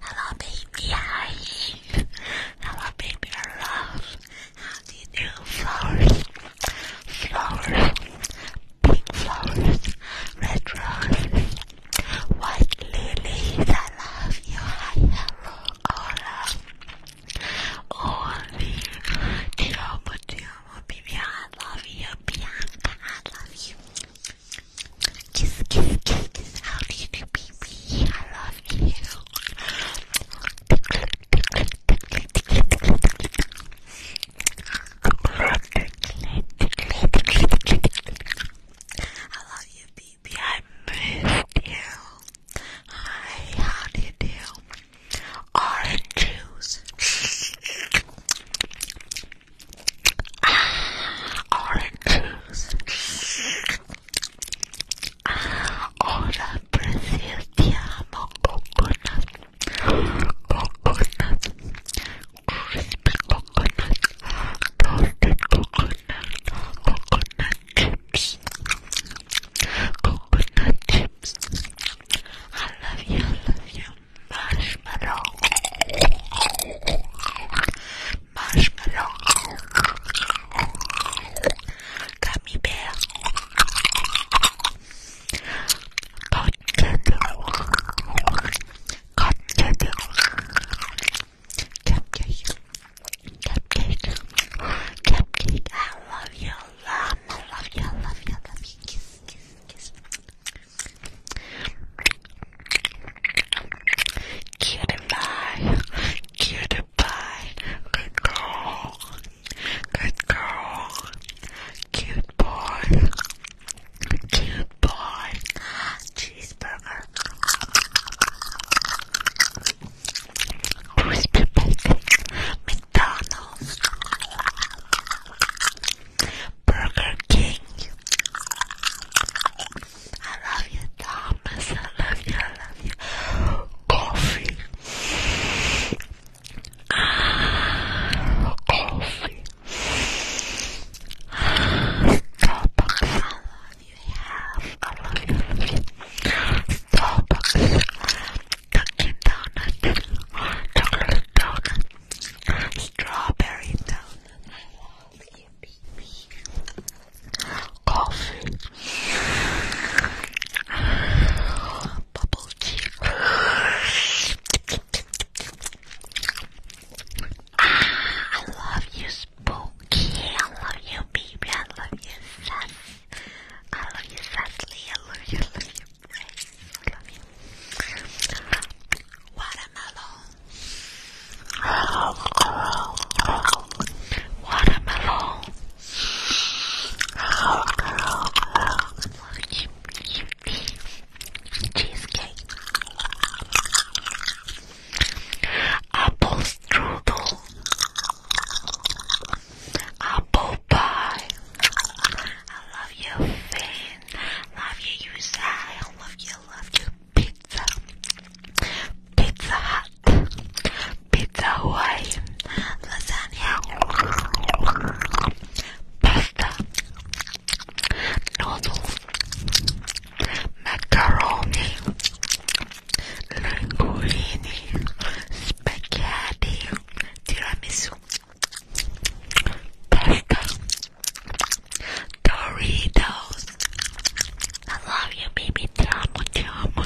Hello, baby. How are you? How do you do? Flowers, flowers, pink flowers, red roses, white lilies. I love you. hello, hola, Oli. Ti amo, ti amo, baby. I love you, Bianca. I love you. Kiss, kiss, kiss, kiss. How do you do, baby? I love you. I love you, baby. I missed you. Hi, how do you do? Orange juice oranges. Ora preziosiamo coconut, coconut, crispy coconut, toasted coconut, coconut chips, coconut chips. I love you, I love you, marshmallow, marshmallow, gummy bear, cotton candy, cotton candy, cupcake, cupcake, cupcake. I love you, love, you, love you, love you. Kiss, kiss, kiss. Cutie pie, cutie pie, good girl, good girl, cute boy, cute boy, cheeseburger, crispy bacon, McDonald's, Burger King. I love you, Thomas. I love you. I love you. Coffee. Ah, coffee. Starbucks. I love you. Yes, I love you. I Starbucks. Dunkin' Donuts. Chocolate donut. Strawberry donut. Coffee. Bubble tea. Ah, I love you, Spooky. I love you, baby. I love you, Sass. I love you, Sassly. I love you, I I love you. Watermelon. Watermelon. Cheesecake. Apple strudel. Apple pie. I love you, Finn. Love you, you I love you, love you. Pizza, Pizza Hut, Pizza Hawaii, lasagna, pasta, noodles, macaroni, linguine, spaghetti, tiramisu, pasta. Doritos. I love you, baby. Te amo, te amo,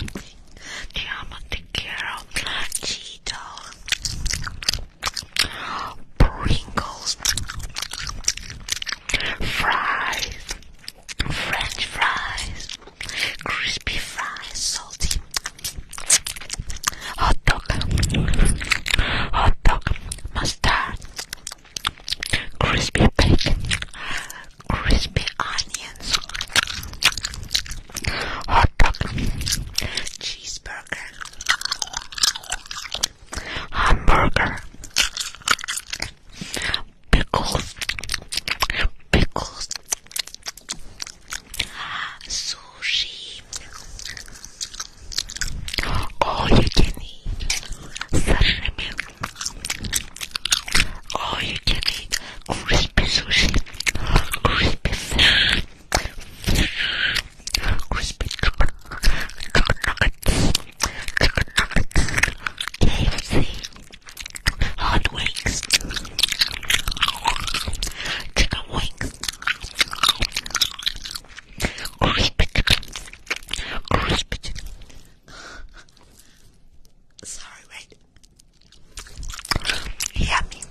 te amo, Pringles. Fries. French fries. Crispy fries. Salty. Hot dog. Hot dog. Mustard crispy bacon, crispy onions, hot dog, cheeseburger, hamburger, pickles, pickles, sushi. All you can eat sashimi Oh, you can eat crispy sushi, crispy fish, crispy chicken, chicken nuggets, chicken nuggets, KFC, hot wings, chicken wings, crispy chicken, crispy chicken. Sorry, wait. Yummy.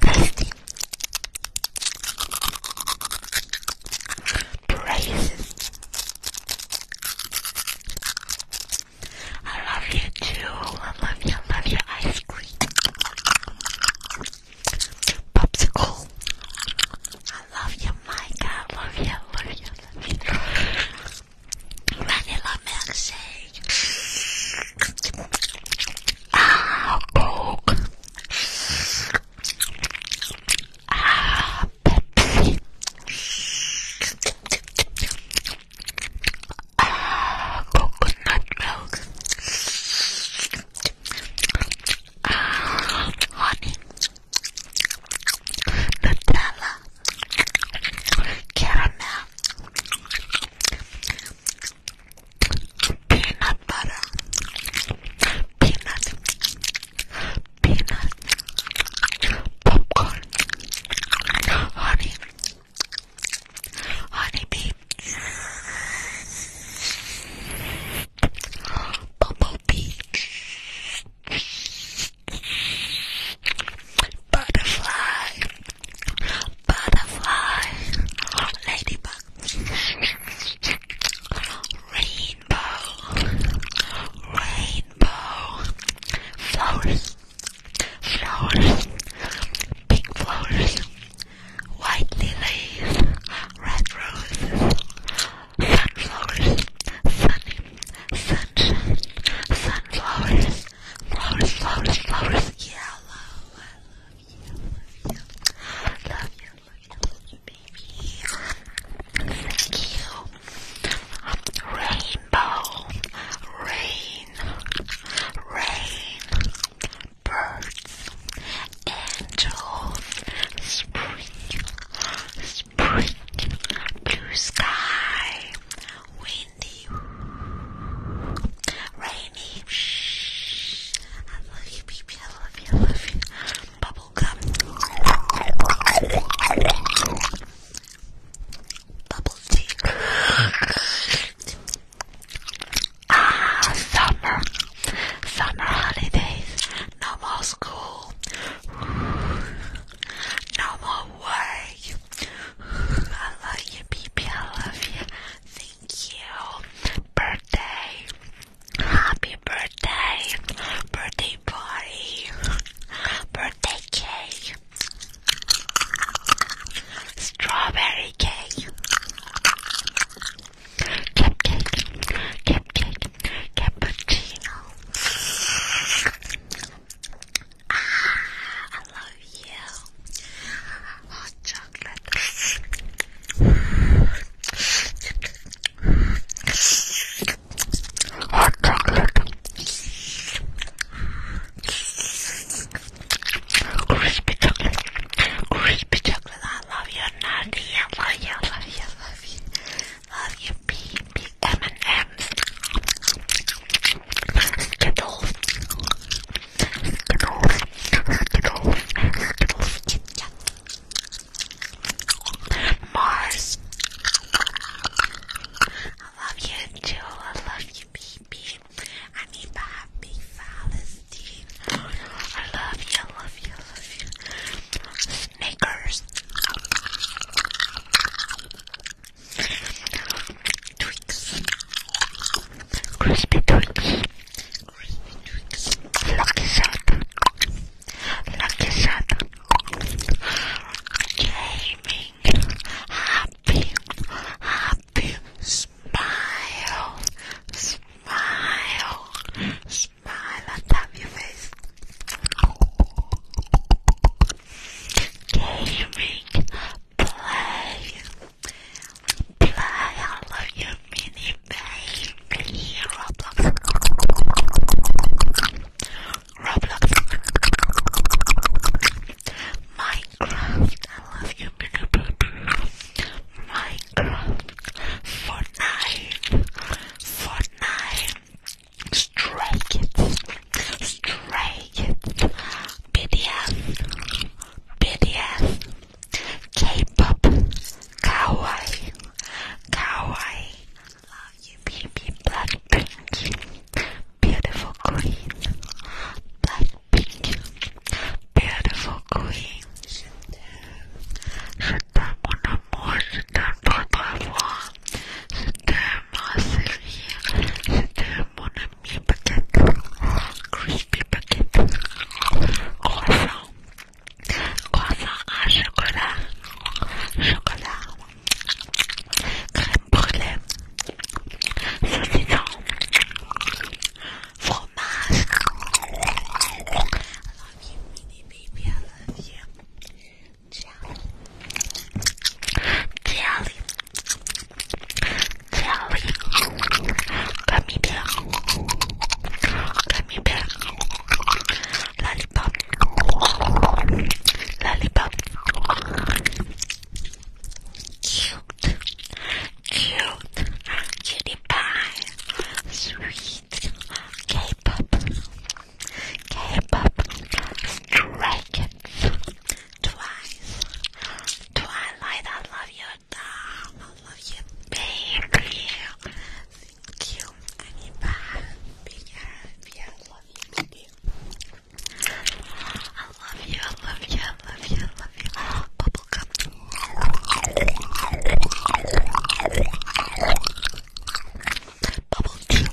Tasty. I love you too. I love you. love your ice cream. Popsicle. I love you, Mike. I love you, love you, love you. Vanilla milkshake. Ah, Coke. Ah, Pepsi. Ah, coconut milk honey, Nutella, caramel, peanut butter, peanut, peanut, popcorn, honey, honey bee, Bumblebee. Butterfly. Butterfly. Ladybug. Rainbow. Rainbow. Flowers. Flowers. Pink flowers white lilies, red roses, sunflowers, sunny, sunshine, sunflowers, flowers, flowers, flowers, yellow. I love you, I love you, I love you, I love you, baby. Thank you. Rainbow, rain, rain, birds, angels, spring, spring, blue sky, windy, rainy. Shh. I love you, baby. I love you. I love you. Bubblegum. Bubble tea. Ah, summer. Summer holidays. No more school. No more work. I love you, baby. I love you. Thank you. Birthday. Happy birthday. Birthday party. Birthday cake. Strawberry cake. Cupcake, cupcake, cappuccino. Ah, I love you. Hot chocolate. Hot chocolate. Crispy chocolate. Crispy chocolate chocolate. I love you, Nuggy. I love you, love you, love you. Love you, baby. M&M's. Skittles. Skittles. Skittles. Skittles. Skittles. Mars. I love you, Joe. I love you, baby. I need the happy flowers. I love you, I love you, I love you. Snickers. Twix. Crispy Twix. Lucky shot. Lucky shot. Gaming. Happy. Happy. Smile. Smile, smile and tap your face. Gaming, play, play. I love you, mini baby. Roblox, Roblox, Minecraft. I love you, mini baby. My Minecraft Fortnite Fortnite Stray Kids Stray Kids BDS BDS K-pop Kawaii Kawaii Love you baby Blackpink Beautiful Queen Blackpink Beautiful Queen Je t'aime mon amour, je t'aime votre C'était je t'aime ma série, je t'aime mon ami paquette, crispy paquette, croissant, croissant à chocolat, chocolat, crème brûlée, saucisson, fromage. I love you, baby. I love you. Jelly. Jelly. Jelly. Gummy bear. Lollipop. Lollipop cute cutie pie, sweet K-pop, K-pop, Stray Twice, Twilight, I love you, doll, I love you, baby, thank you, Aniba, big happy, I love you, baby. I love you, I love you, I love you, I love you. Bubblegum, Bubble tea.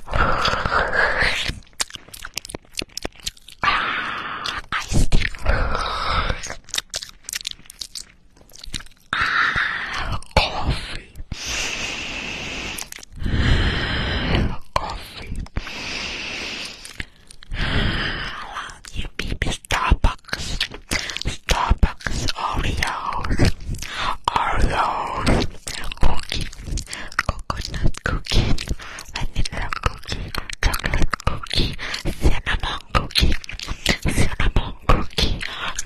Ah, iced tea. Ah, coffee. Coffee. I love you, baby. Starbucks, Starbucks Oreos, Oreos, cookie, coconut cookie, vanilla cookie, chocolate cookie, cinnamon cookie, cinnamon cookie,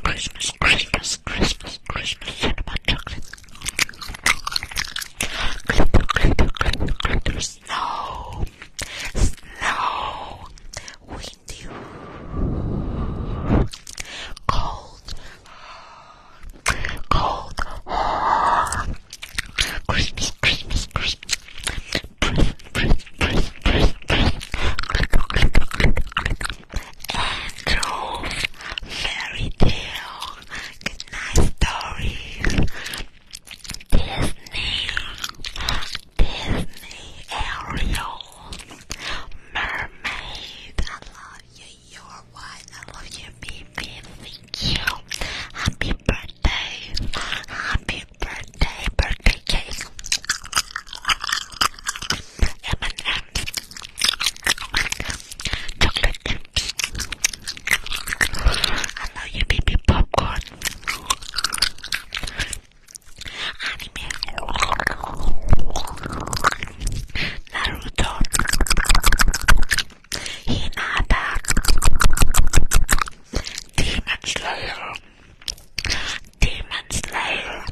Christmas, Christmas, Christmas, Christmas, cinnamon chocolate, snow, snow, we talking Cold, cold, Christmas, Christmas, Christmas. Breath, breath, breath, breath, breath. Andrew, fairy tale, good stories. Disney, Disney Ariel, Mermaid, I love you, you white, I love you, baby, thank you, happy birthday, happy birthday, birthday cake, M&M's, chocolate, I love you, baby, popcorn, anime, Naruto, Hinata, Demon Slayer, Demon Slayer,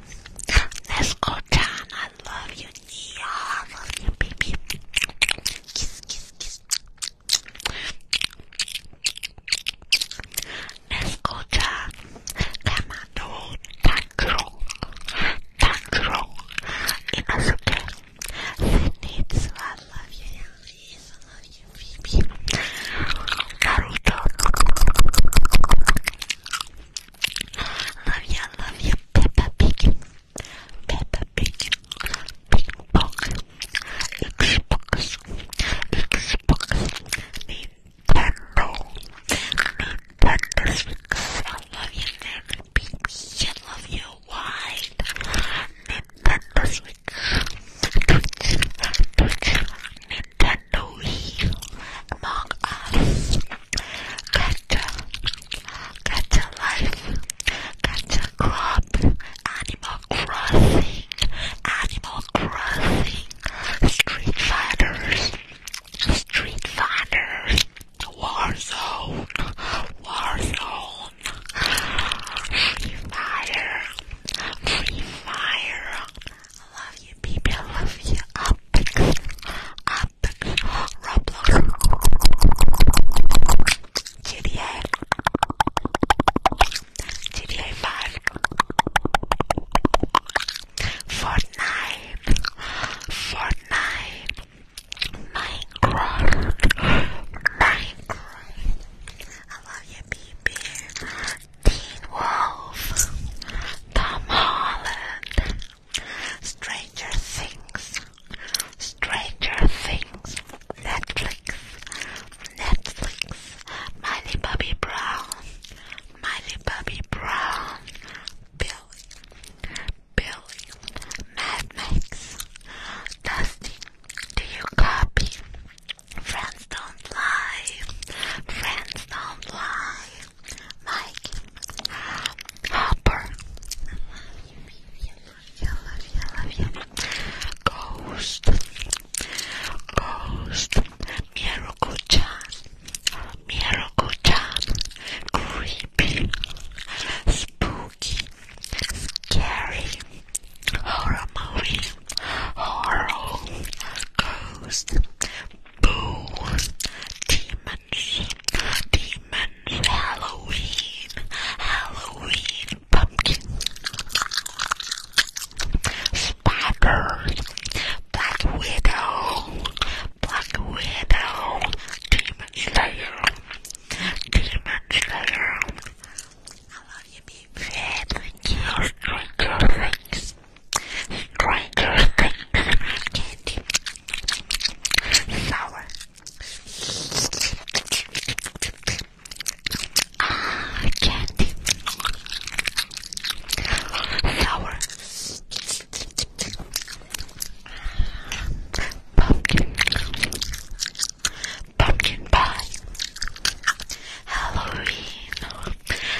let's go down, I love you, Nia, I love you, baby, kiss, kiss, kiss. Escucha, te mando un tantrum, tantrum, y no sé qué. Zenitsu, I love you, love you, Phoebe. Naruto. Love you, I love you, Peppa Pig. Peppa Pig. Ping Pong. Xbox. Xbox. Need Nintendo. Nintendo Switch. I love you, baby. I love you. Why? Nintendo Switch. Twitch. Twitch. Nintendo Wii. Among Us. Gacha. Gacha Life. Gacha Crop. Animal Crossing. Animal Crossing. Street Fighters, Street Fighters, Warzone, Warzone, Free Fire, Free Fire. I love you, baby. I love you. Apex, Apex, Roblox, GTA. GTA 5, Fortnite, Fortnite, Minecraft, Minecraft, I love you, BB, Teen Wolf, Tom Holland, Stranger Things, Stranger Things, Netflix, Netflix, Miley Bobby Brown, Mighty Bobby Brown, Billy, Billy, Mad Max, Dusty, do you copy? Friends don't lie, friends don't lie, Mike, Hopper, I love you, I love you, I love you, Ghost, Ghost. Miracle-chan, Miracle-chan, creepy, spooky, scary, horror movie, horror, ghost, boo, demons, demons, Halloween, Halloween, pumpkin. Spiders, Black Widow, Black Widow, Demon Slayer, Demon Slayer. I love you, baby. Thank you, Things, Stranger Things, candy, sour. Ah, candy sour pumpkin pumpkin pie Halloween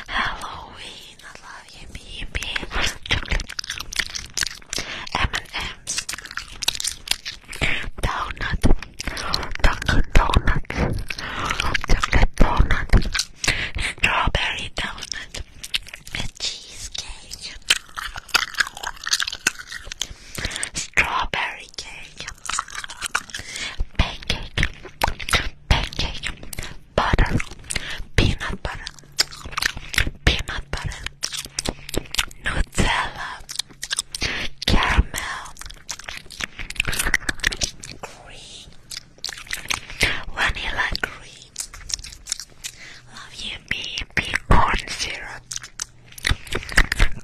Halloween I love yippee yippee chocolate M&M's donut chocolate donut chocolate donut strawberry donut, a cheesecake, strawberry cake, pancake, pancake, butter, peanut butter, peanut butter, Nutella, caramel, cream vanilla cream, love you baby, corn syrup,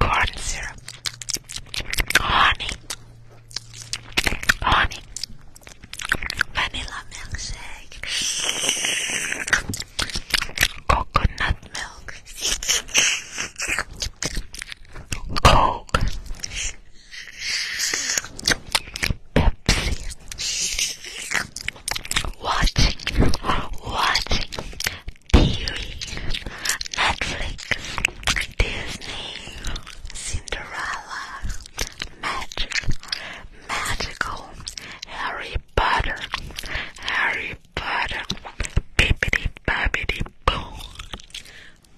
corn syrup, honey, honey, vanilla milkshake, coconut milk, coke. Pepsi. Watching, watching TV, Netflix, Disney, Cinderella, Magic, Magical, Harry Potter, Harry Potter, bibbidi bobbidi boom.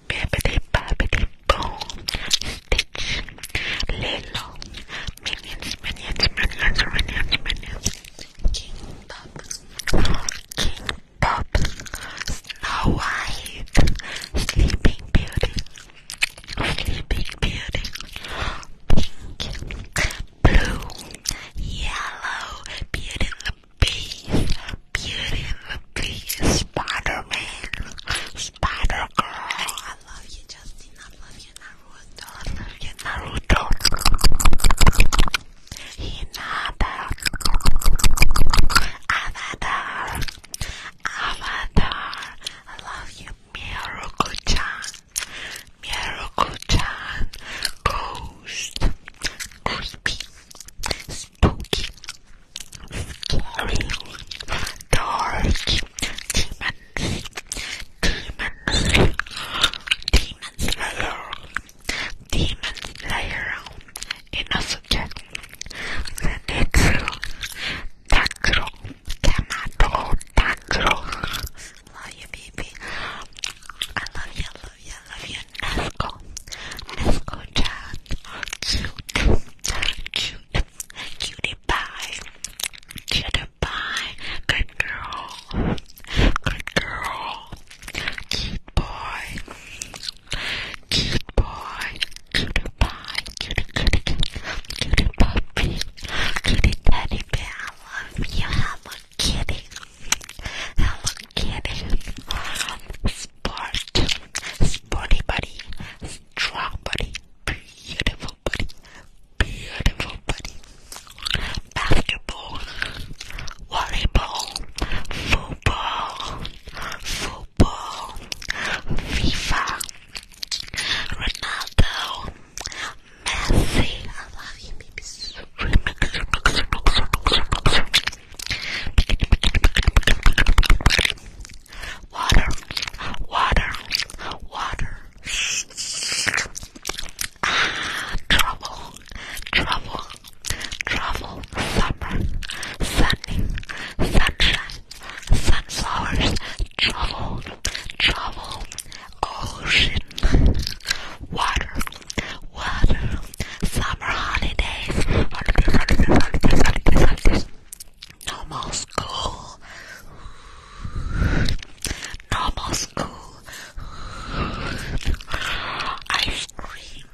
Bibbidi bobbidi boom. Stitch. Lilo. Minions, minions, minions, minions, minions. King Bob. King Bob. Snow White. Sleeping Beauty. Sleeping Beauty. Pink. Blue. Yellow. Beauty and the Beast. Beauty and the Beast, Spider-Man, Spider-Girl. I love you, Justin. I love you, Naruto. I love you, Naruto. Hinata. Avatar. Avatar. I love you, Miruko-chan. Miruko-chan. Ghost. Crispy. Scary dark demons, demons, demon slayer, demon slayer in a subject. Zenitsu, Takuro, Kamado, Takuro. Love you, baby. I love you, I love you, I love you. Nesco, Nesco, Chan, cute. Cute, cutie pie, cutie pie, good girl, good girl, cute boy, cute boy, cutie pie, cutie cutie, cutie puppy, cutie teddy bear. I love you, Hello Kitty, Hello Kitty sport, sporty body, strong body, beautiful body, beautiful body, basketball, volleyball, football, football, FIFA, Ronaldo, Messi, I water, water, water. Ah, trouble, trouble, trouble. Summer, sunny, sunshine, sunflowers. Trouble, trouble. Ocean, water, water. Summer holidays. Holidays, holidays, holidays, holidays, holidays. No more school. No more school. Ice cream.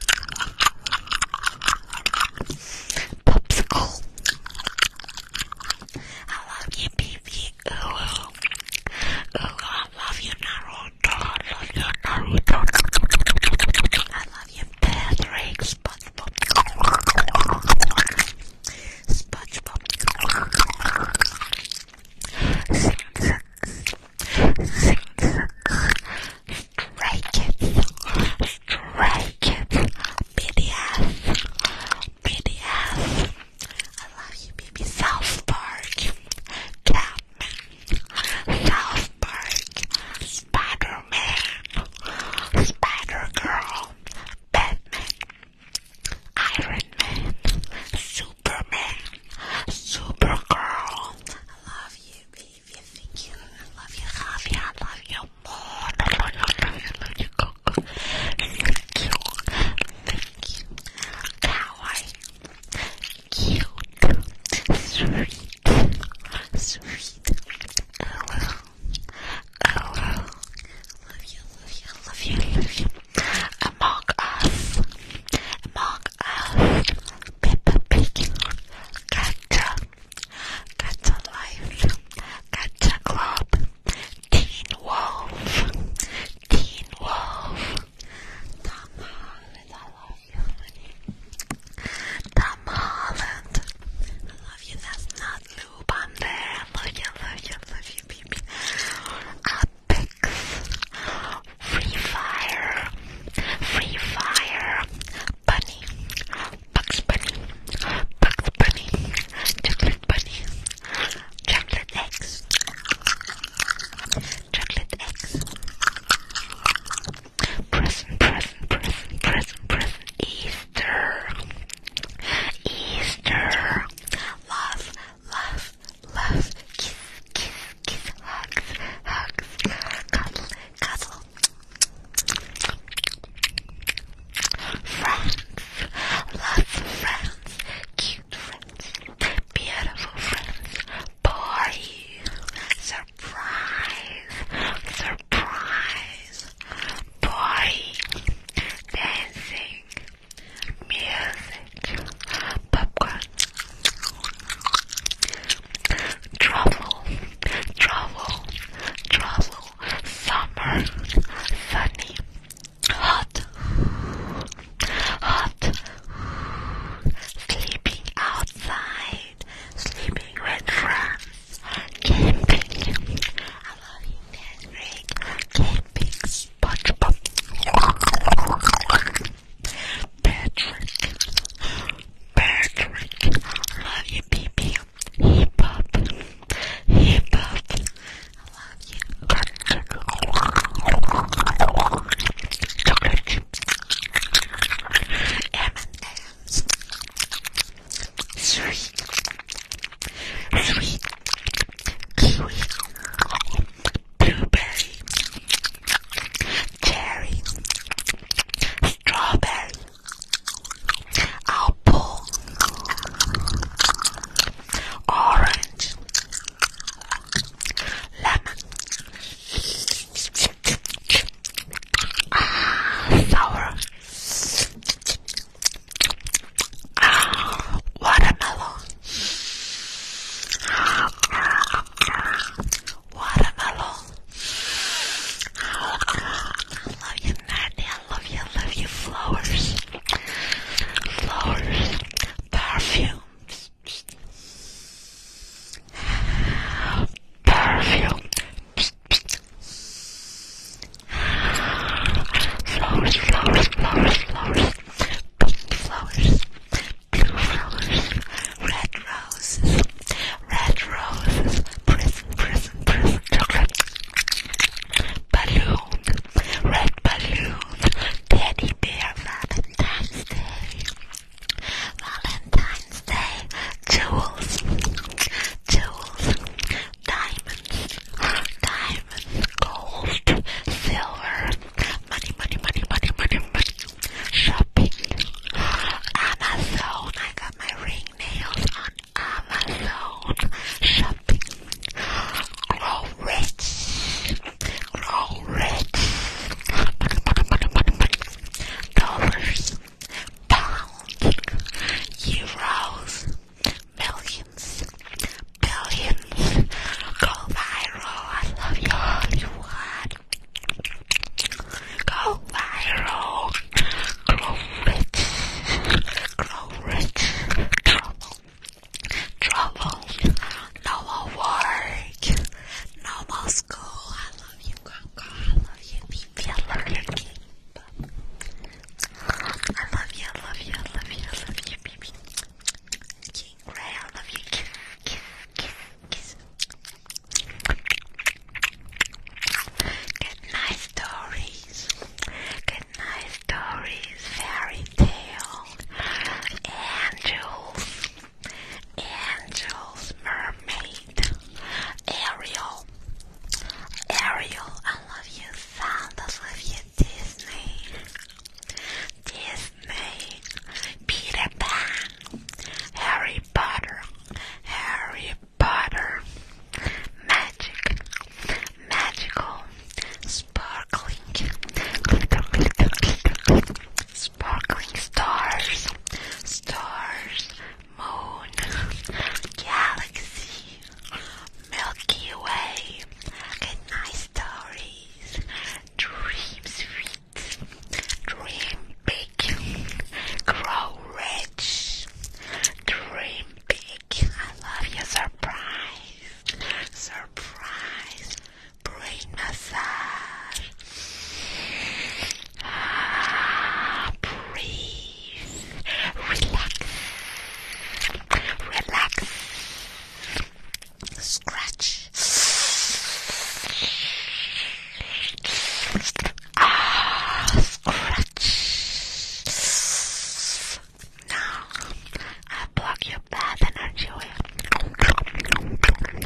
Popsicle. I love you, baby. Ooh, ooh. Ooh, I love you, Naruto. I love you, Naruto. I love you, Patrick. SpongeBob. SpongeBob. Sing Stray Kids. Stray Kids. BDS. BDS. I love you, baby. South Park. Catman. South Spider-Man, Spider-Girl, Batman, Iron Man, Superman, Supergirl. I love you, baby. Thank you. I love you, Javi. I love you more. I love you, I love you, I love you, Thank you. Thank you. Cute. Sweet. Sweet. I Oh, love you, love you, love you, love you. Among us, among us, Peppa Pig, Gotcha, Gotcha Life, Gotcha Club, Teen Wolf, Teen Wolf. Tom Holland, I love you, honey. Tom Holland, I love you. That's not lube. I'm there. love you. love you. love you, baby. Apex. Free Fire. Free Fire. Bunny. Bugs Bunny. Bugs Bunny. Chocolate Bunny. Chocolate eggs. Chocolate eggs present, present, present, present, present, Easter, Easter, love, love, love, kiss, kiss, kiss, hugs, hugs, cuddle, cuddle, friends, lots of friends, cute friends, beautiful friends, party, surprise, surprise, boy, dancing, music, popcorn, travel, travel, travel, summer, sunny, hot, hot, sleeping outside, sleeping with friends. Camping. I love you, man. Camping. SpongeBob. Patrick. Patrick. I love you, baby. Hip hop. Hip hop. I love you. M&M's. Sweet, Three. Kiwi. Blueberry. Cherry. Strawberry. Apple. Orange. Lemon. Ah, sour watermelon. Watermelon. I love you, Natty. I love you. I love you. Flowers. Flowers. Perfumes. Perfume. Flowers, flowers, flowers, flowers. Pink flowers, blue flowers, red roses, red roses. Prison, prison, prison. Chocolate. Balloon, red balloon. Teddy bear. Valentine's Day. Valentine's Wednesday, jewels, jewels, diamonds, diamonds, gold, silver, money, money, money, money, money, money, shopping, Amazon. I got my ring nails on Amazon. Shopping, grow rich, grow rich, money, money, money, money, money, dollars pounds, euros, millions, billions, go viral, I love you Hollywood, go viral, grow rich, grow rich, trouble, trouble, no more work, no more school, I love you Coco, I love you, baby, I love I love you, I love you, I love you, I love you, baby. King Ray, I love you. Kiss, kiss, kiss, kiss. stories. Good stories. Fairy tales. Angels. Angels. Mermaids. Ariel. Ariel, I love you. Santa's love you. Disney. Disney. Peter Pan. Harry Potter. Harry Potter. Magic. Magical. Sparkling. Sparkling stars. Stars moon, galaxy, Milky Way, goodnight stories, dream sweet, dream big, grow rich, dream big. I love your surprise, surprise, brain massage. Ah, breathe relax, relax, scratch. Ah, scratch. Now, I block your bad energy away. Now, I block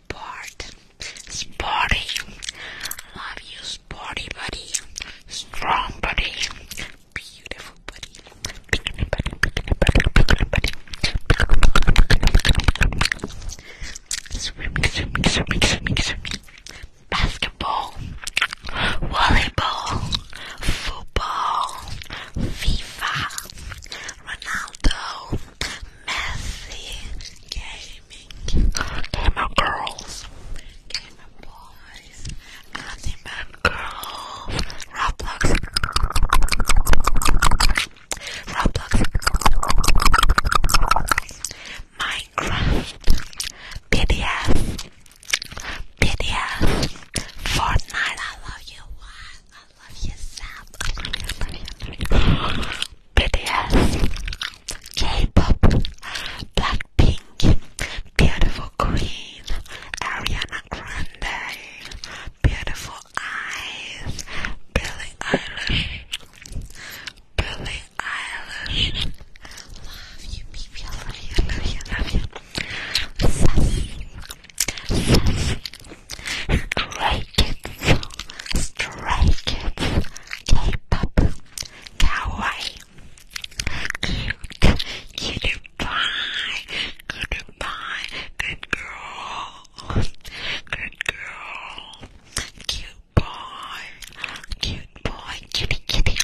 sport, sporty. Love you, sporty buddy, strong buddy, beautiful buddy, bikini buddy, bikini buddy, bikini buddy, swimming, swimming, swimming, swimming, swimming, basketball, volleyball, football, FIFA, Ronaldo messy gaming, gamer girls, gamer boys, anime girls, Roblox, Roblox, Minecraft, PDF. BDS, Fortnite, I love you, love you, Zap. BTS, K-pop, Blackpink, beautiful Queen, Ariana Grande, beautiful eyes, Billie Eilish, Billie Eilish. Love you, baby. I love you, I love you, love you. Sassy, sassy. Stray Kids, Stray Kids, K-pop, kawaii, cute, goodbye, goodbye, good girl, good girl, cute boy, cute boy, kitty kitty,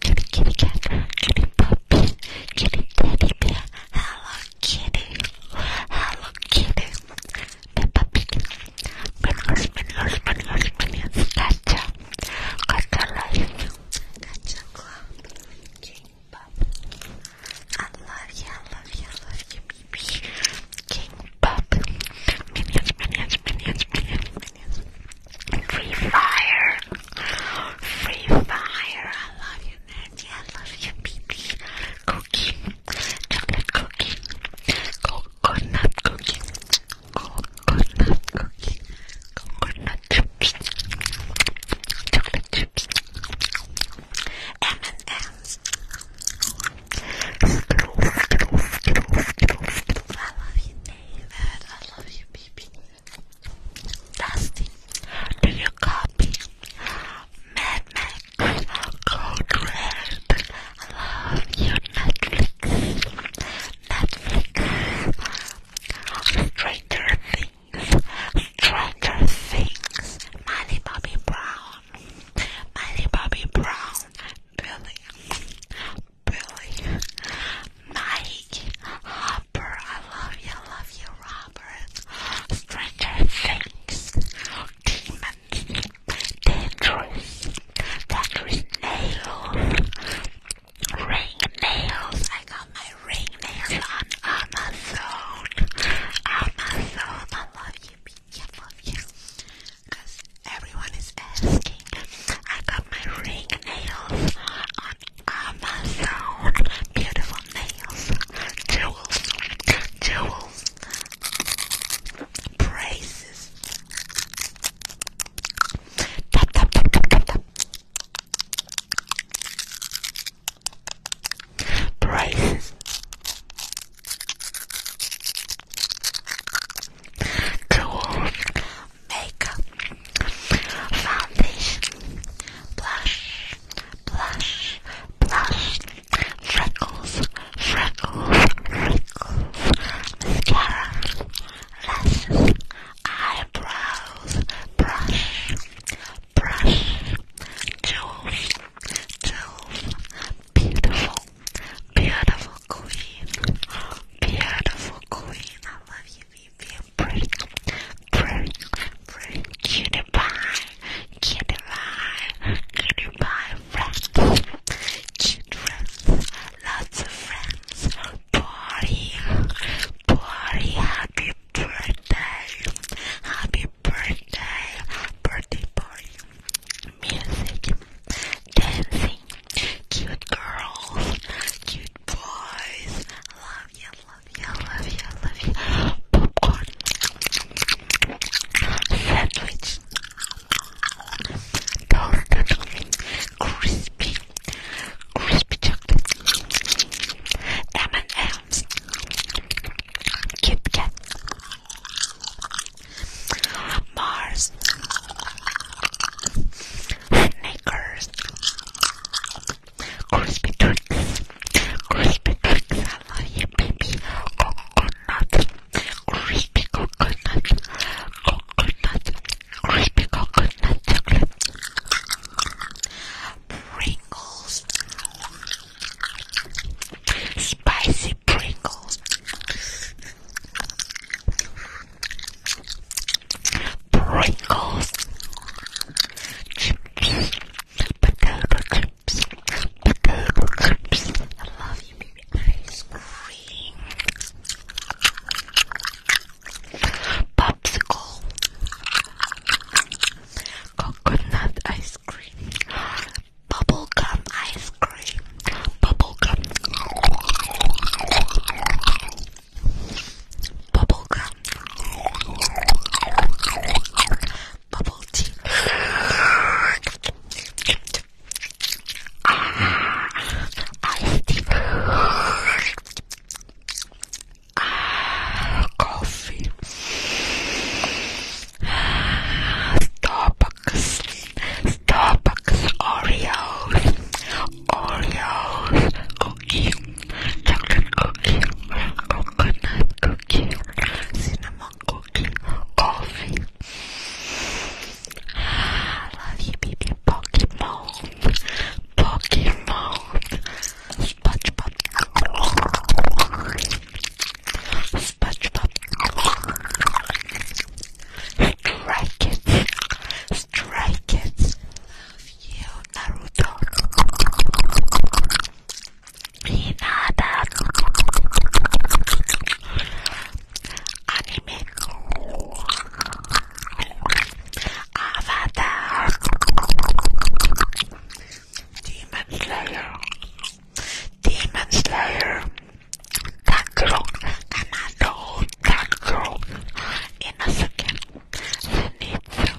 kitty kitty cat, kitty puppy, kitty teddy bear, hello Kitty, Hello Kitty, Peppa Pig, Minions, Minions, Minions, Minions, Gotcha, Gotcha Life, Gotcha Club, King Bob, I love you, I love you, I love you, baby, King Bob, Minions, Minions, Minions, Minions, Minions, Free Fire, Free Fire, I love you. I love you, baby. Cooking, chocolate cooking, coconut cooking, coconut cooking, coconut chips, chocolate chips, M and M's. I love you, David. I love you, baby. Dusty, do you copy? Madman Corcoran. I love you, Netflix. Netflix. Stranger Things. Stranger Things. Miley Bobby Brown. Miley Bobby Brown. Billy. Billy. Mike. Hopper. I love you. I love you, Rob. Labyrinth, Stranger Things, Demons, Dangerous, Dangerous Nails, Ring Nails. I got my ring nails on Amazon. Amazon, I love you, I love you. Because everyone is asking. I got my ring nails on Amazon. Beautiful for nails, jewels, jewels, braces. Tap, tap, tap, tap, tap, tap. Braces. Jewels, makeup, foundation, blush, blush, blush, freckles, freckles, freckles, mascara, lashes, eyebrows, brush, brush, jewels, jewels, beautiful, beautiful queen, beautiful queen, I love you, you being pretty, pretty, pretty, cutie pie. Kitty pie, kitty pie friends, children, lots of friends, party, party, happy birthday, happy birthday, birthday party, music, dancing, cute girls, cute boys, love you, love you, love you, love you, popcorn sandwich, toasted, crispy, crispy chocolate, M&M's, Kit Kat, Mars, Snickers, crispy treats, Crispy cakes, I love you, baby. Coconut, crispy coconut, coconut, crispy coconut chocolate. Pringles, spicy Pringles. Pringles, potato chips, potato chips. I love you, baby. Ice cream. Popsicle. Coconut ice cream. Bubblegum ice cream. Bubblegum. Bubblegum bubble tea. Ah, tea. coffee. Starbucks. Starbucks Oreos. Oreos. Cookie. Chocolate cookie. Coconut cookie. Cinnamon Coffee, coffee. love you, baby. Pokemon, Pokemon, SpongeBob, SpongeBob, Strike it, Strike it. Love you, Naruto. Hinata Anime Avatar Demon Slayer Demon Slayer Takuro Kamado Takuro Inosuke Zenitsu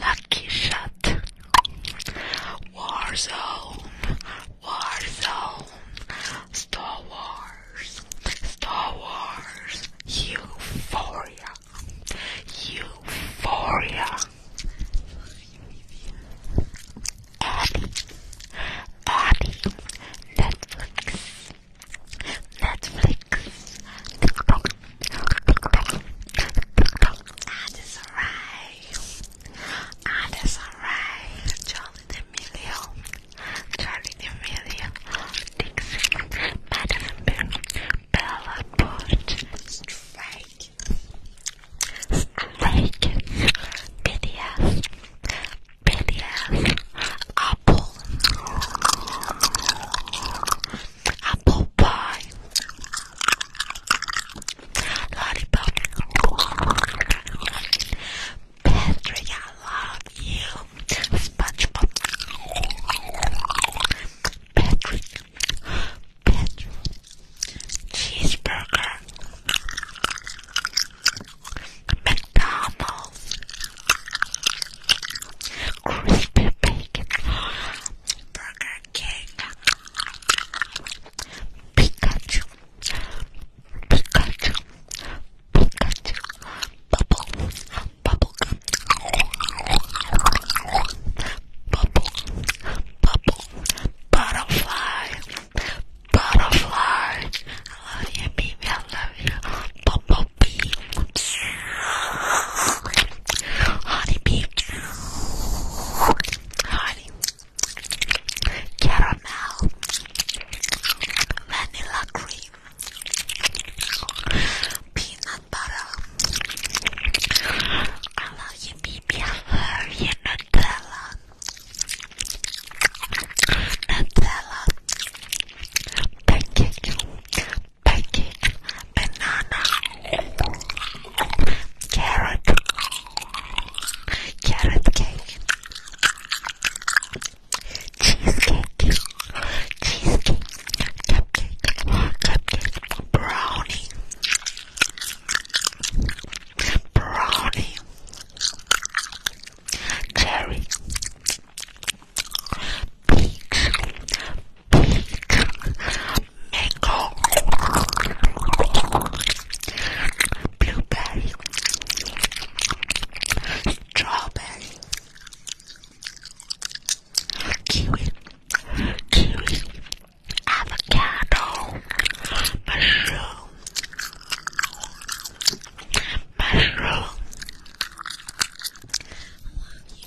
Lucky Shot, Warzone, Warzone, Star Wars, Star Wars, Euphoria, Euphoria, Abby, Abby, Netflix, Netflix, TikTok. That is right. That is right. Charlie D'Amelio. Charlie D'Amelio. Dixie. Madison Bella Bush. Strike. Strike. BDS. BDS. Apple apple pie, lollipop. Patrick, I love you. SpongeBob. Patrick, Patrick, cheeseburger, McDonald's, crispy bacon burger, king. Pikachu. Pikachu. Pikachu. Bubble. Bubble. Bubble. Bubble. Butterfly. Butterfly. I love you, baby. I love you. Bumblebee. Honey bee. Honey. Caramel. Vanilla cream. Peanut butter. I love you, baby. I Nutella. Nutella. Pancake pancake, banana, carrot, carrot cake, cheesecake, cheesecake, cupcake, cupcake, brownie, brownie, cherry, peach, mango, blueberry, strawberry, kiwi, kiwi, avocado, mushroom, mushroom. I love you.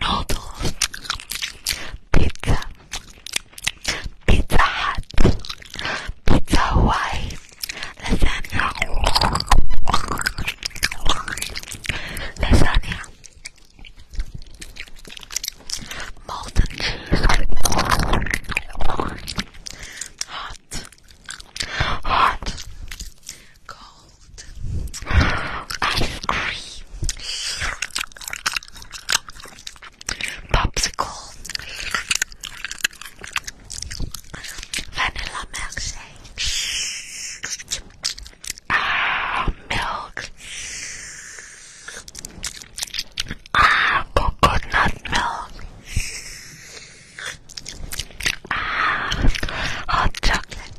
noodles, pizza, pizza hut, pizza Hawaii, lasagna, lasagna, molten cheese, hot, hot, cold cold ice cream popsicle vanilla milkshake ah, milk ah, coconut milk ah, hot chocolate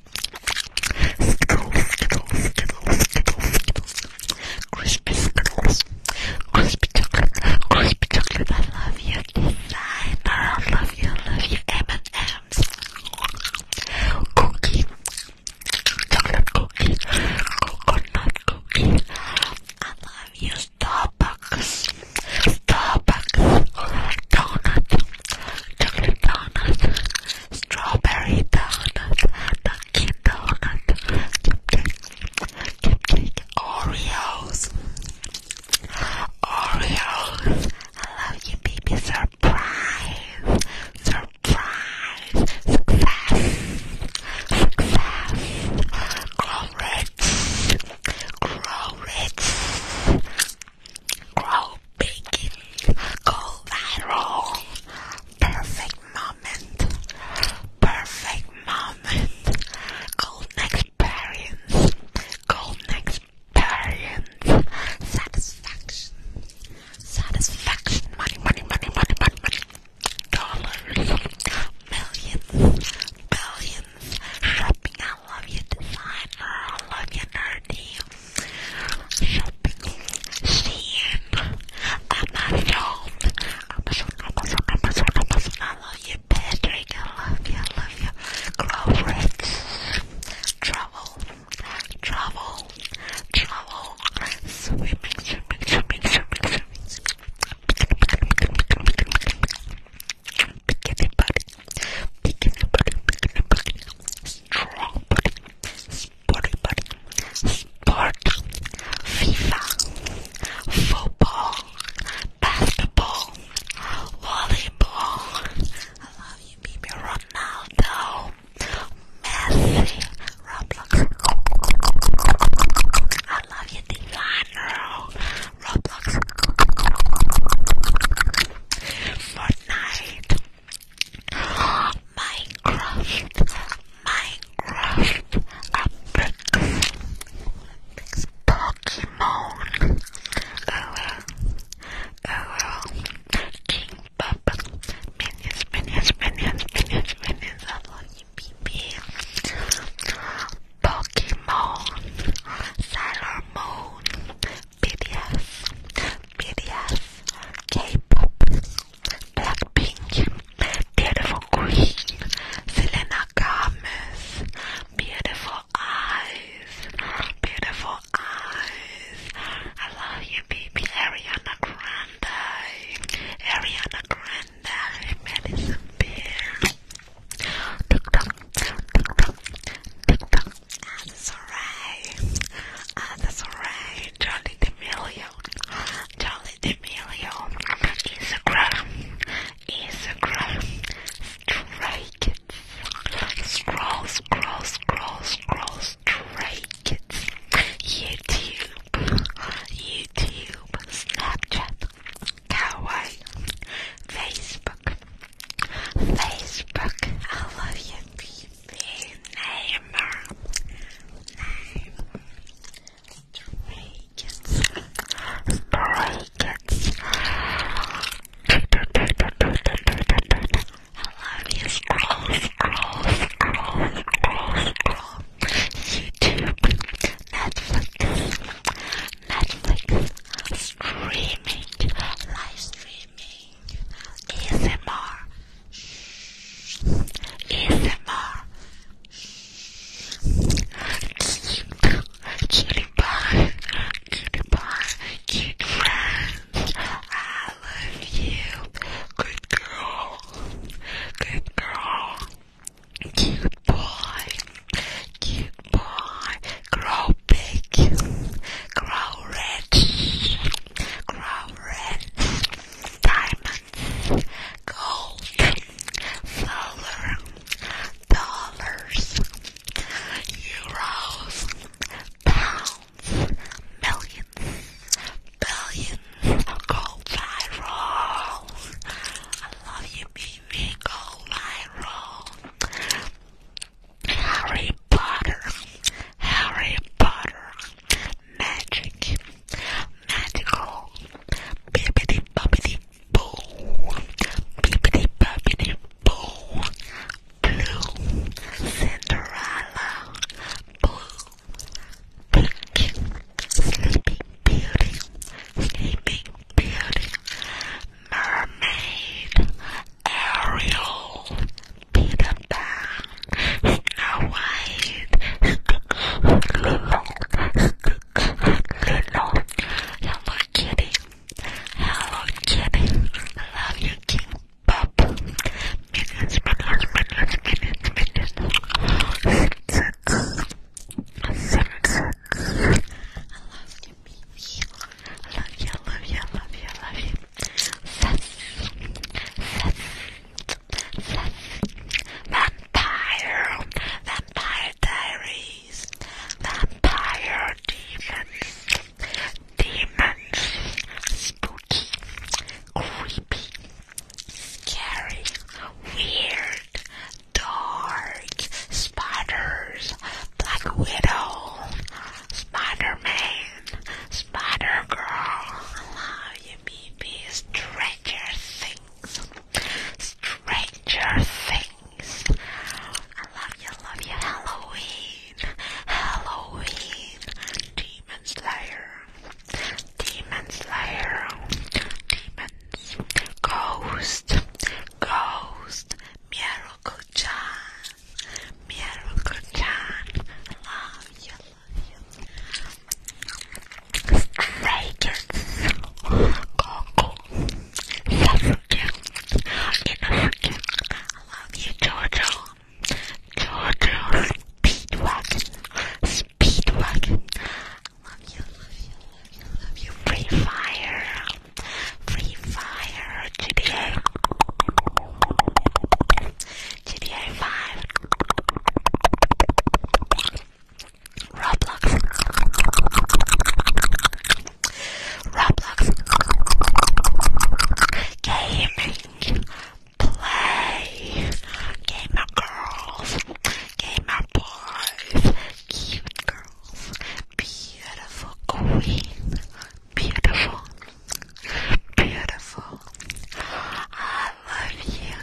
Skittles, Skittles, Skittles, Skittles, Skittles. Crispy Skittles. Crispy chocolate. Crispy chocolate. I love your design. I love you. I love your M&M's. Cookie. Chocolate cookie. Coconut cookie. I love you. Starbucks. Starbucks. Donut. Chocolate donut strawberry donut, Dunkin' Donut, cupcake, cupcake, Oreos, Oreos. I love you, baby. Surprise, surprise, success, success, grow rich, grow rich, grow baking collateral. Perfect moment. Perfect moment. Golden experience. Golden experience. Satisfaction. Satisfaction. Money, money, money, money, money, Dollars. Millions. Billions. Shopping. I love you, designer. I love you, nerdy shopping scene. Amazon. Amazon, Amazon, Amazon, Amazon. I love you, Patrick. I love you, I love you. Glowrex. Travel. Travel. Travel. Swimming, swimming, swimming, swimming, swimming. Bikini body. Bikini body. Bikini body. Strong body sport, sport, FIFA, football, basketball, volleyball. I love you, baby Ronaldo, Messi, Roblox. I love you, designer, Roblox, Fortnite. Minecraft, Minecraft, Pokemon, Pokemon, Sailor Moon, BTS, BTS, K-pop, Blackpink, Beautiful Queen, Selena Gomez, Beautiful Eyes, Beautiful Eyes. I love you, baby. Ariana Grande, Ariana Grande, Madison Beer. Tick tock, tick Ah, that's alright. Ah, that's alright. Charlie D'Amelio. Charlie D'Amelio. Instagram. Instagram. Stray Scroll, scroll, scroll, scroll. Stray YouTube. YouTube. Snapchat. Kawaii. Facebook. Facebook. I love you name, name, stray kids, stray you, scroll, scroll, scroll, scroll, scroll. YouTube, Netflix, Netflix, streaming, live streaming, ASMR. ASMR Cutie pie, cutie pie, cute friends I love you Good girl, good girl Cute boy, cute boy Grow big, grow rich, grow red, diamonds, gold, silver, dollars, euros, pounds, millions, billions, gold eye I love you, baby, gold eye Harry Potter, Harry Potter, magic, magical, bippity boppity boo, bippity boppity boo, blue, Cinderella, blue, pink, sleeping beauty, sleeping beauty, mermaid, Ariel, Peter Pan, Snow White, Stick, Lilo, Stick, Lilo, Hello Kitty, Hello Kitty, Love You King Pop, Minions, Minions, Minions, Minions, Minions, Simpsons, Simpsons, I love you, baby, I love you, I love you, I love you, I love you, Says, says, says, vampire, vampire diaries, vampire demons, demons, spooky, creepy, scary, weird, dark, spiders, black widow, Spider-Man, Spider Girl, allow your baby stranger things. Stranger things. I love you, love you, Halloween. Halloween. Demon Slayer. Demon Slayer. Demons. Ghost. Ghost. Miracle Chan. Miracle Chan. Love you, Vegas, Congo, South Africa, in Africa. I love you, Georgia. Georgia, Speedwagon, Speedwagon. I love you, love you, love you, love you. Free Fire, Free Fire, GTA. GTA 5, Roblox, Roblox, gaming, play, gamer girls, gamer boys, cute girls, beautiful queen, Beautiful. Beautiful. I love you.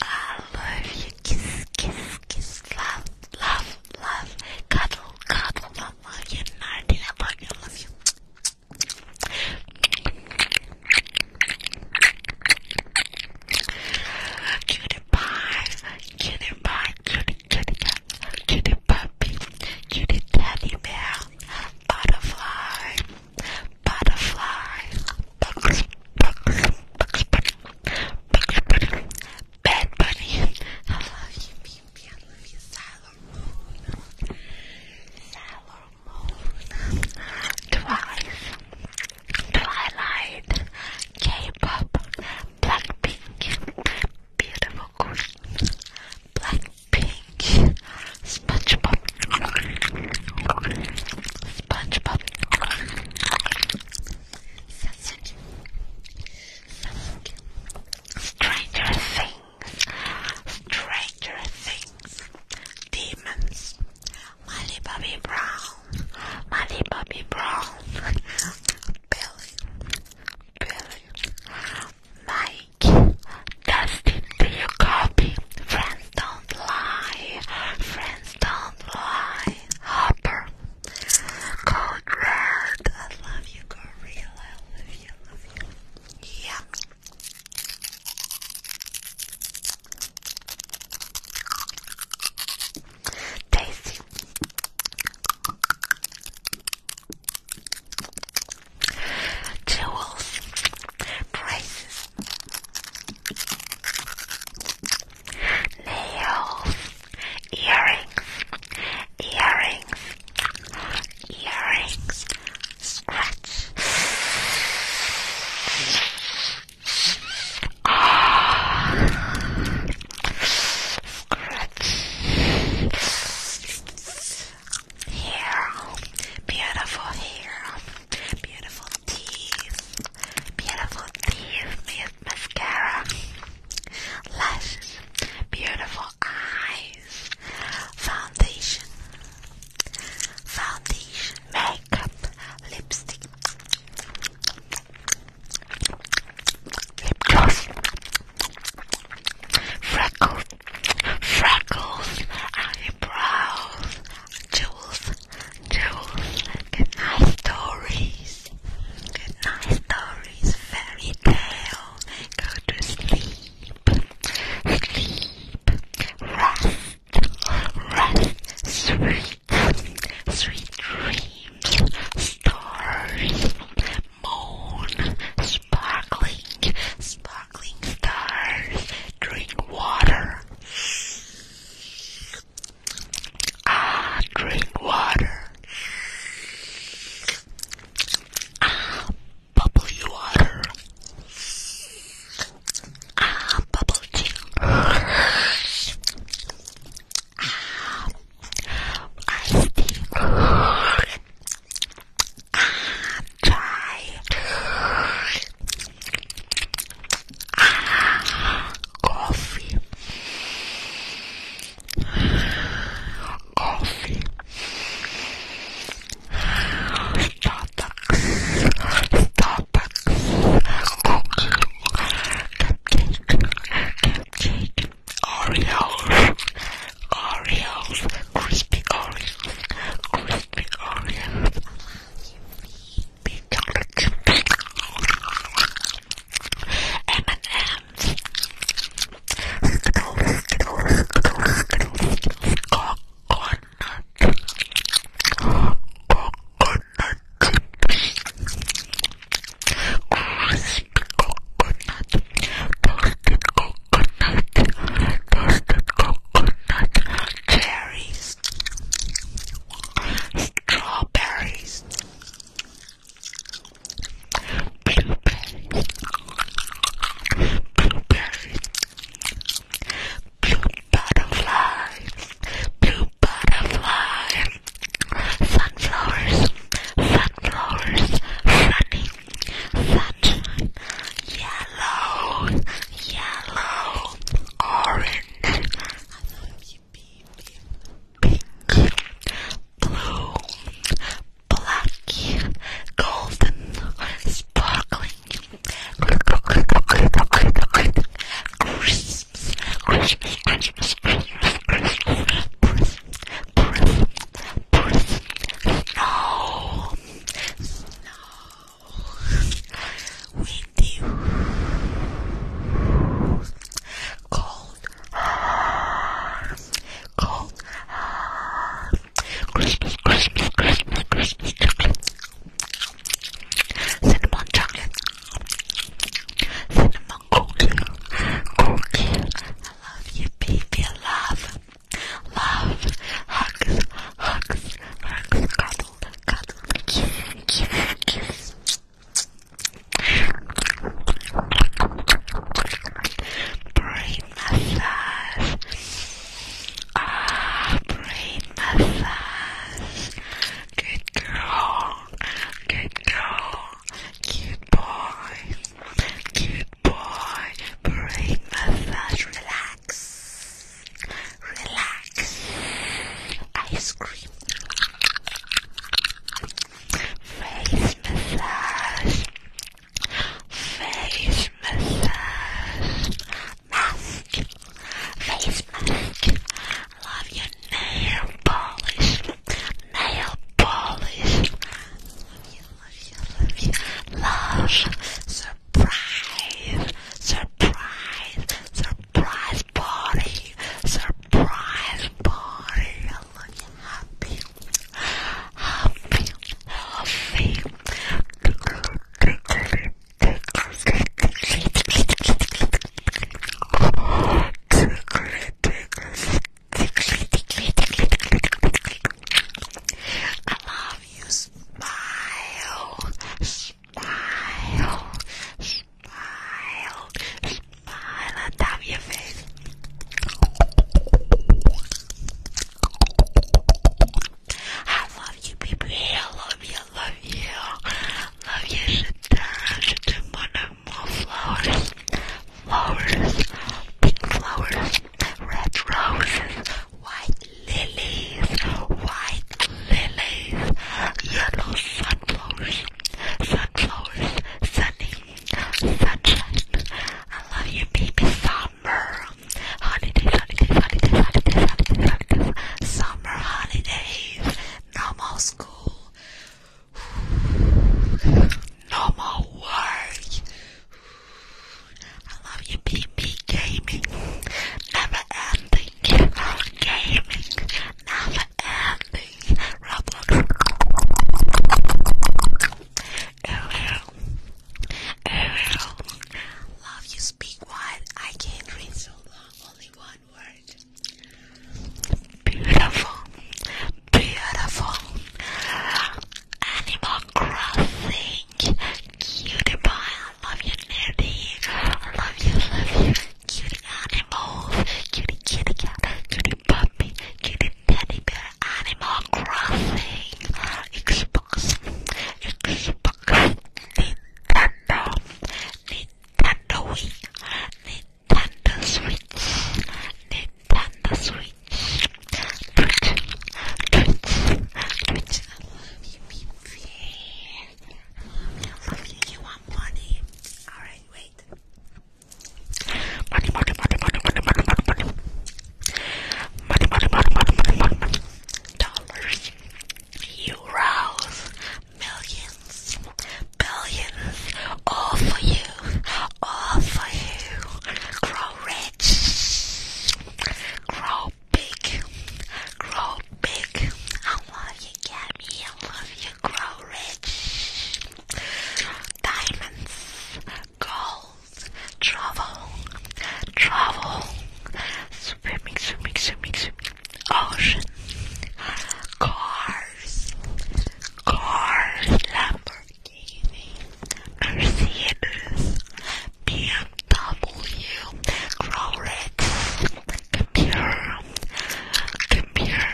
I love you. Kiss, kiss, kiss. Love, love, love. Cuddle, cuddle. I love you. Nardi. I love you. I love you. Cutie pie. Cutie pie. Cutie, puppy. Cutie teddy bear. Butterfly butterfly, bad bunny. I love you, baby. I love you, Sailor Moon, Sailor Moon, Twice, Twilight, K-pop, Blackpink, beautiful queen, Black pink SpongeBob SpongeBob Stranger Things Stranger Things Demons Molly Bobby Brown Molly Bobby Brown Billy Billy Mike, Dustin, do you copy? Friends don't lie. Friends don't lie. Hopper, Code I love you, Gorilla. I love you, love you. Yeah. Daisy jewels, prices, nails, earrings, earrings, earrings, scratch. Ah. Scratch hair, beautiful hair, beautiful teeth, beautiful teeth, mascara, lashes, beautiful eyes, foundation, foundation, makeup, lipstick, lip gloss, freckles, freckles, eyebrows, jewels, jewels, good stories, good stories, fairy tale, go to sleep, sleep, rest, rest, sweet, sweet dreams, stars, moon, sparkling, sparkling drink water. Ah, drink water. Ah, bubbly water. Ah, bubble tea. Ah, iced tea. Ah, coffee. Coffee. Starbucks. Starbucks. Cookie. Cupcake. Cupcake. Oreos. Oreos. Crispy Oreos big Oreos. Big chocolate big M&M's. Skittles, Skittles, Skittles, Skittles. Coconut. Coconut. Crispy coconut. Toasted coconut. Toasted coconut cherries, strawberries, blueberries, blueberries, blue butterflies, blue butterflies, sunflowers, sunflowers, sunny, sunshine, yellow yellow, orange, pink, blue, black, golden, sparkling, Christmas, Christmas, Christmas, Christmas, Christmas, Christmas, Christmas, Christmas, snow, windy, cold, cold, Christmas, Christmas, Christmas, Christmas chocolate, cinnamon chocolate, cinnamon cookie, cookie. I love you, baby. love. Love, hugs, hugs, hugs, cuddle, cuddle, kiss, kiss, kiss. Brain massage. Ah, brain massage. Good girl. Good girl. Cute boy. Cute boy. Brain massage. Relax relax, ice cream, face massage, face massage, mask, face mask, love your nail polish, nail polish, love you, love you, love you, love, so Surprise! Surprise! Surprise party! Surprise party! I look happy, happy, happy. I love you. Smile, smile, smile, smile on top your face. I love you, baby. I love you. love you. Love you. Sit down. Sit down. More, flowers. Flowers. Pink flowers. Red roses white lilies, white lilies, yellow sunflowers, sunflowers, sunny, sunshine. I love you, baby, summer, holidays, holidays, holidays, holidays, holidays, holidays, summer holidays, normal school, normal work. I love you, BB Gaming. Never ending, Gaming. Never ending, Roblox. Love you, speak wide. I can't read so long, only one word. Beautiful, beautiful. Animal Crossing, cutie pie love you, nerdy. I love you, love you. Cutie animals, cutie kitty cat, cutie puppy, cutie teddy bear, animal crossing, Xbox, Xbox, Nintendo, Nintendo Wii, Nintendo Switch, Nintendo Switch, Twitch, Twitch, Twitch. I love you, yeah. You want money? Alright, wait. Money, money, money, money, money, money, money, money. Money, money, money, money, money, money, money. Dollars, euros, millions, billions. All for you. All for you. Grow rich. Grow big, grow big. I love you, Gabby. I love you, grow rich. Diamonds, gold, travel, travel, swimming, swimming, swimming, ocean, cars, cars, Lamborghini, Mercedes, BMW Growlitz Computer Computer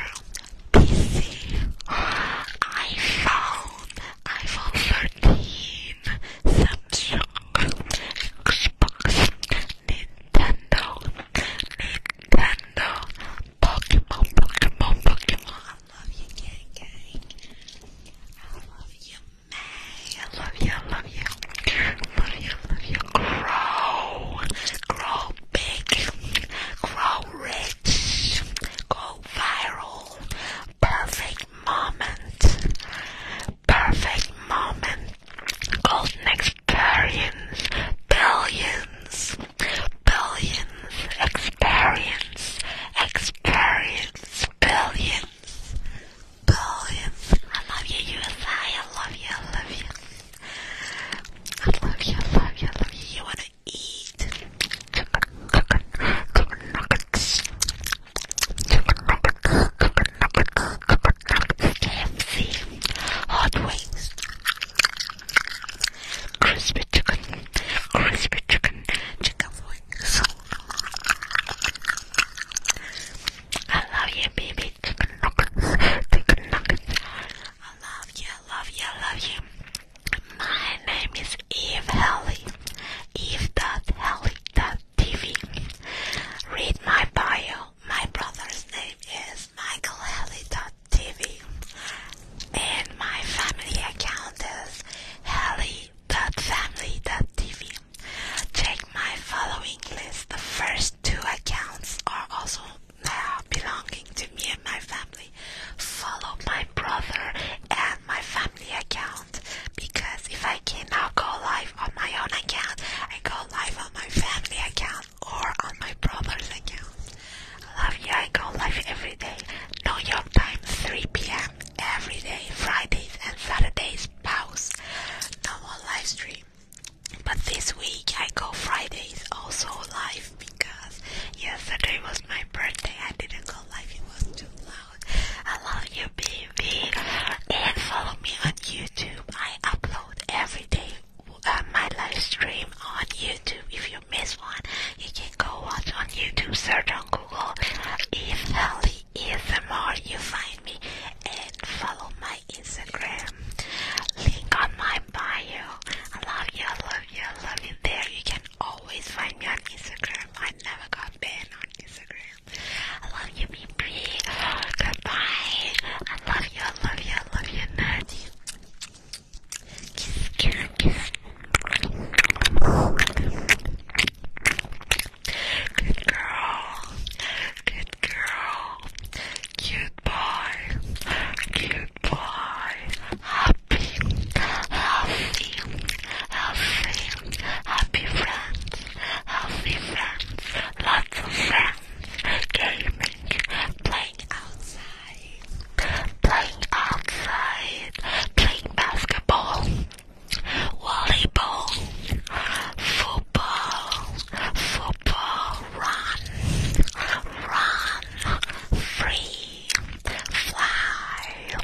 PC iPhone iPhone 13 Samsung Xbox Nintendo Nintendo Pokemon Pokemon Pokemon I love you gang I love you I love you, I love you. Love you, love you. Grow. Grow big. Grow rich. Go viral. Perfect moment. Perfect moment. Golden experience. Billions. Billions. Experience. Experience. Billions friends. Billions. I love you, USA. I love you, I love you. I love you, I love you, I love you. You wanna eat chicken, chicken, chicken nuggets. Chicken nuggets, chicken nuggets, chicken nuggets. KFC, hot wings, crispy chicken, crispy chicken, chicken wings. I love you, baby. Chicken nuggets, chicken nuggets. I love you, love you, love you. My name is Eve Helly. Eve dot Helly dot TV. Read my bio. My brother's name is Michael Helly dot TV, and my family account is Helly www.family.tv. Check my following list. The first two accounts are also uh, belonging to me and my family. Follow my brother and my family account because if I cannot go live on my own account, I go live on my family account or on my brother's account. I love you. I go live every day. New York time, 3 p.m. every day, Fridays and Saturdays pause, no more live stream. But this week I go Fridays also live because yesterday was my birthday. I didn't go live, it was too loud. I love you, baby. And follow me on YouTube. I upload every day uh, my live stream on YouTube. If you miss one, you can go watch on YouTube, search on Google. If Ellie more, you find me and follow my Instagram. Link on my bio. I love you, I love you, I love you. There you can always find me on Instagram. I never got banned on Instagram. I love you, baby. Goodbye. I love you, love you, love you, nerdy. kiss, kiss. Good girl. Good girl. Cute boy. Cute boy. Happy. Healthy. Healthy. Happy friends. Healthy friends. Lots of friends. Gaming. Playing outside. Playing outside. Playing basketball volleyball, football, football, run, run, free, fly,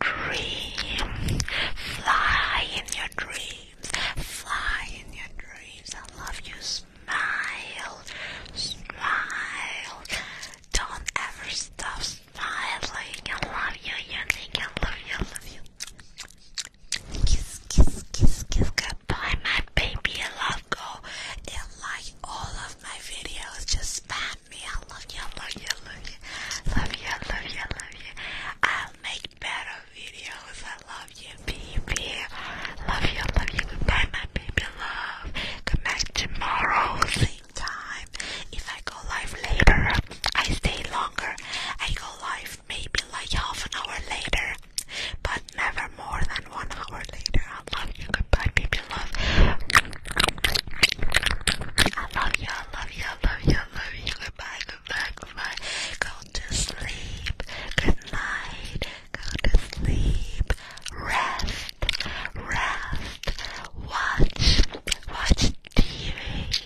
dream, fly in your dreams, fly in your dreams. I love you. Smile, smile. Don't ever stop smiling. I love you, unique. I love you, I love you. Kiss, kiss, kiss, kiss. Goodbye, my baby. I love go. And like all of my videos, just spam me. I love you, I love you, I love you. Love you, I love you, I love you. I'll make better videos. I love you, baby. Love you, I love you. Goodbye, my baby. Love. Come back tomorrow, same time. If I go live later, I stay longer. I go live maybe like half an hour later, but never more than one hour later. I love you. Goodbye, baby love. I love you. I love you. I love you. love you. Goodbye. Goodbye. Goodbye. Go to sleep. Good Go to sleep. Rest. Rest. Watch. Watch TV.